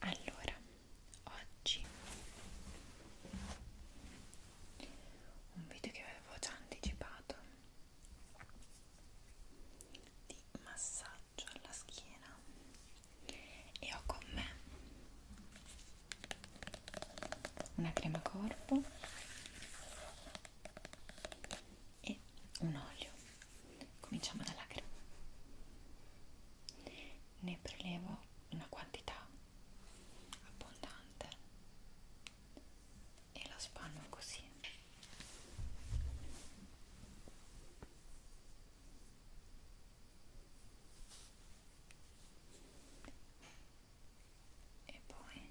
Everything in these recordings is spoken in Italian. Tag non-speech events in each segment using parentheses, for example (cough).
allora oggi un video che avevo già anticipato di massaggio alla schiena e ho con me una crema corpo e un olio cominciamo dalla crema ne prelevo una quantità abbondante e la spanno così e poi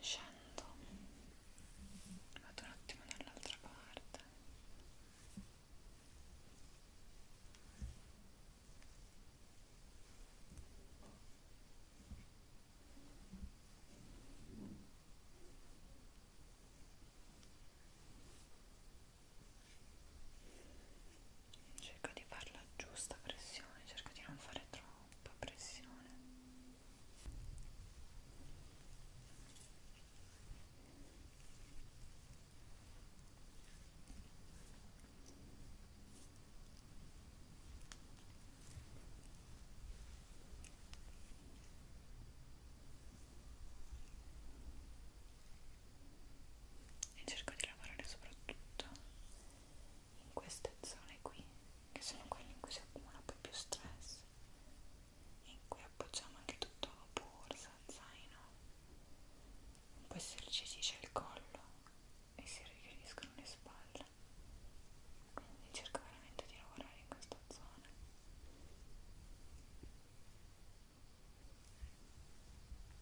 scendo vado un attimo dall'altra parte cerco di fare la giusta pressione cerco di non fare troppa pressione e cerco di lavorare soprattutto in queste zone qui che sono quelle in cui si accumula poi più stress in cui appoggiamo anche tutto borsa, zaino in questi esercizi c'è il collo e si riferiscono le spalle quindi cerco veramente di lavorare in questa zona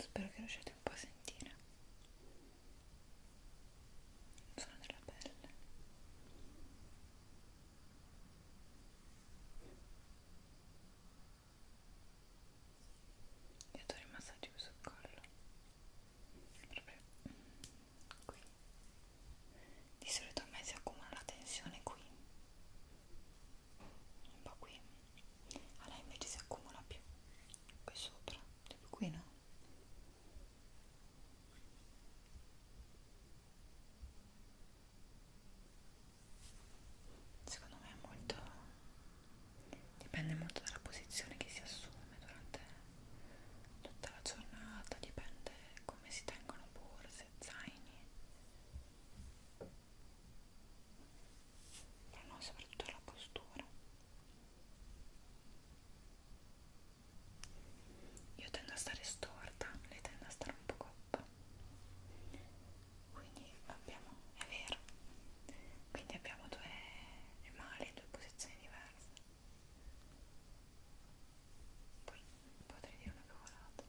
Spero che riusciate un po' a sentire il suono della pelle e do il massaggio sul collo proprio qui di solito a me si accumula la tensione qui un po' qui a lei invece si accumula più qui sopra, tipo qui no Secondo me è molto dipende molto dalla posizione che si assume durante tutta la giornata, dipende come si tengono borse, zaini. Però no, soprattutto la postura io tendo a stare storta lei tende a stare un po' coppa quindi abbiamo è vero quindi abbiamo due male due posizioni diverse poi potrei dire una cavolata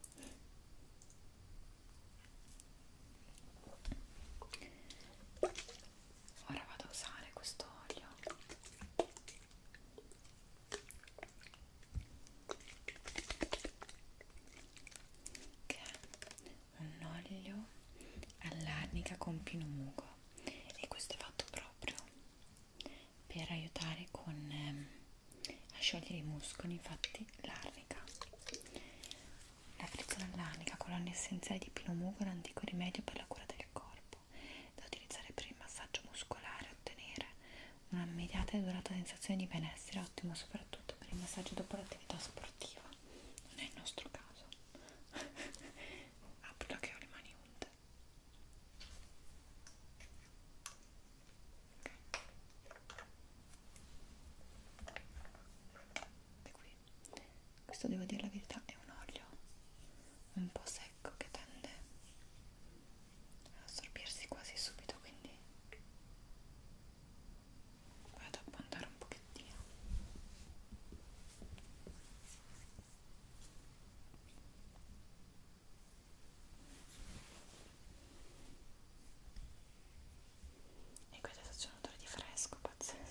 ora vado a usare questo olio che è un olio all'arnica con pinomugo e questo è fatto proprio per aiutare con, ehm, a sciogliere i muscoli infatti l'arnica la frizzola all'arnica colonna essenziale di pinomugo è un antico rimedio per la cura del corpo corpo da utilizzare per il massaggio muscolare e ottenere una immediata e durata sensazione di benessere, ottimo soprattutto per il massaggio dopo l'attività sportiva. Non è il nostro caso. (laughs) Apro che ho le mani unte. Okay. Qui. Questo devo dire la verità è un olio un po' secco che tende ad assorbirsi quasi subito quindi vado a puntare un pochettino e questo c'è un odore di fresco pazzesco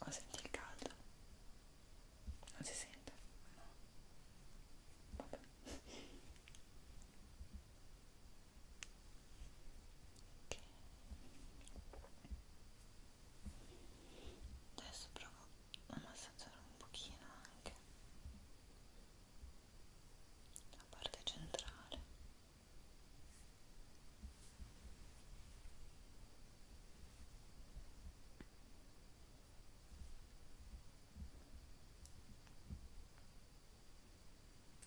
Oh, senti il caldo? Non si sente? Vabbè adesso provo a massaggiare un pochino anche la parte centrale ok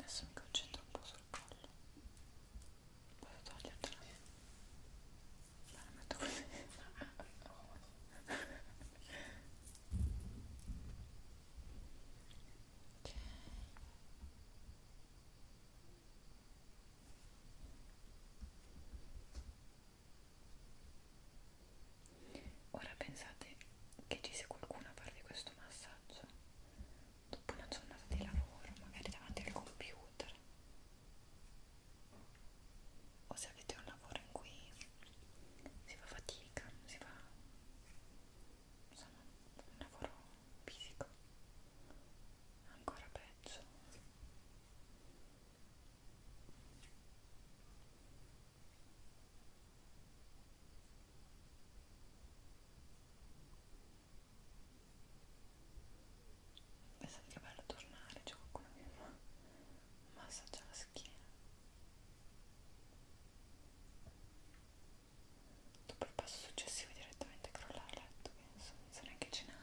Adesso mi concentro un po' sul collo. Vado a togliertela. La metto così. ok. Ora pensate che ci sia qualcuno a farvi questo massaggio dopo una giornata di lavoro, magari davanti al computer o se avete un lavoro in cui si fa fatica, si fa insomma un lavoro fisico ancora peggio Pensate che bello tornare, c'è qualcuno che fa massaggia la schiena dopo il passo successivo direttamente crollare a letto, penso, senza neanche cenare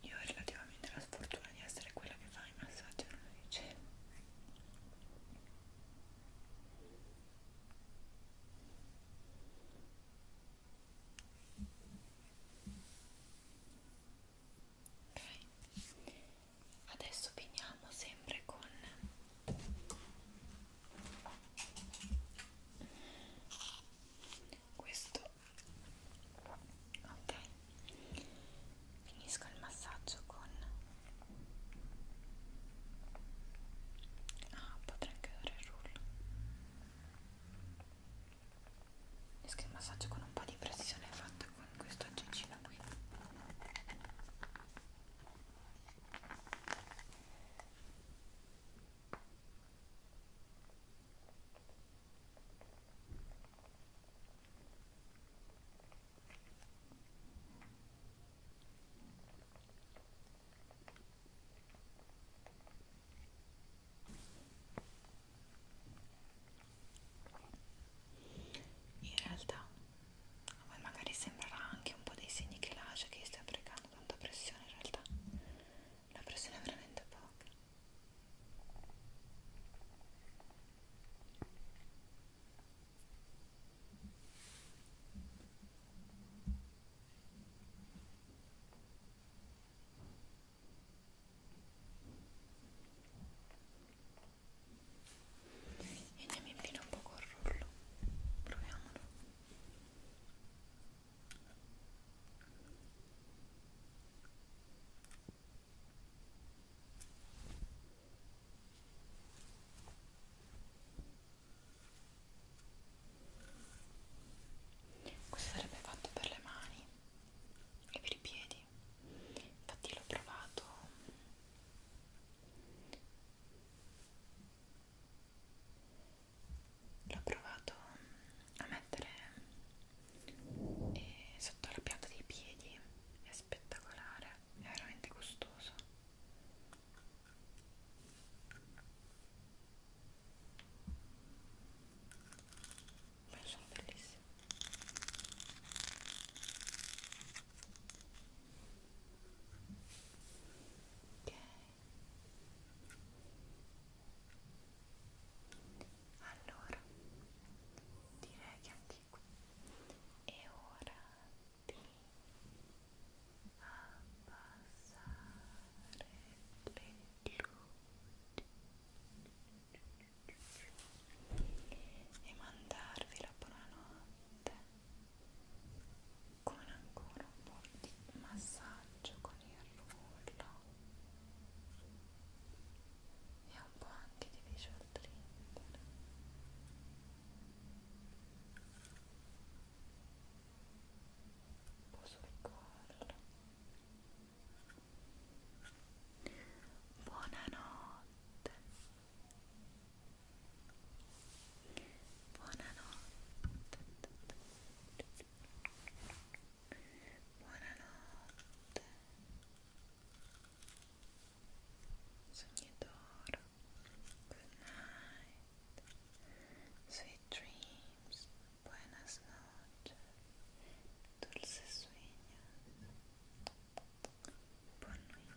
Io ho relativamente la sfortuna di essere quella che fa il massaggio, non lo dicevo ok adesso finiamo sempre con questo ok finisco il massaggio con Ah, potrei anche dare il rullo. Rischio il massaggio con un po' di pressione fatta con questo aggeggino qui. In realtà a voi magari sembrerà anche un po' dei segni che lascia che stia applicando tanta pressione, in realtà la pressione è veramente poca. e andiamo a aprire un poco il rullo proviamolo questo sarebbe fatto per le mani e per i piedi infatti l'ho provato l'ho provato a mettere eh, sotto la pianta dei piedi è spettacolare è veramente costoso ma sono bellissimi ok allora direi che anche qui e ora e mandarvi la buonanotte con ancora un po' di massaggio con il rullo e un po' anche di visual trigger posso piccarla buonanotte buonanotte buonanotte Sognador, good night, sweet dreams, buenas noches, dulces sueños, buon nuit,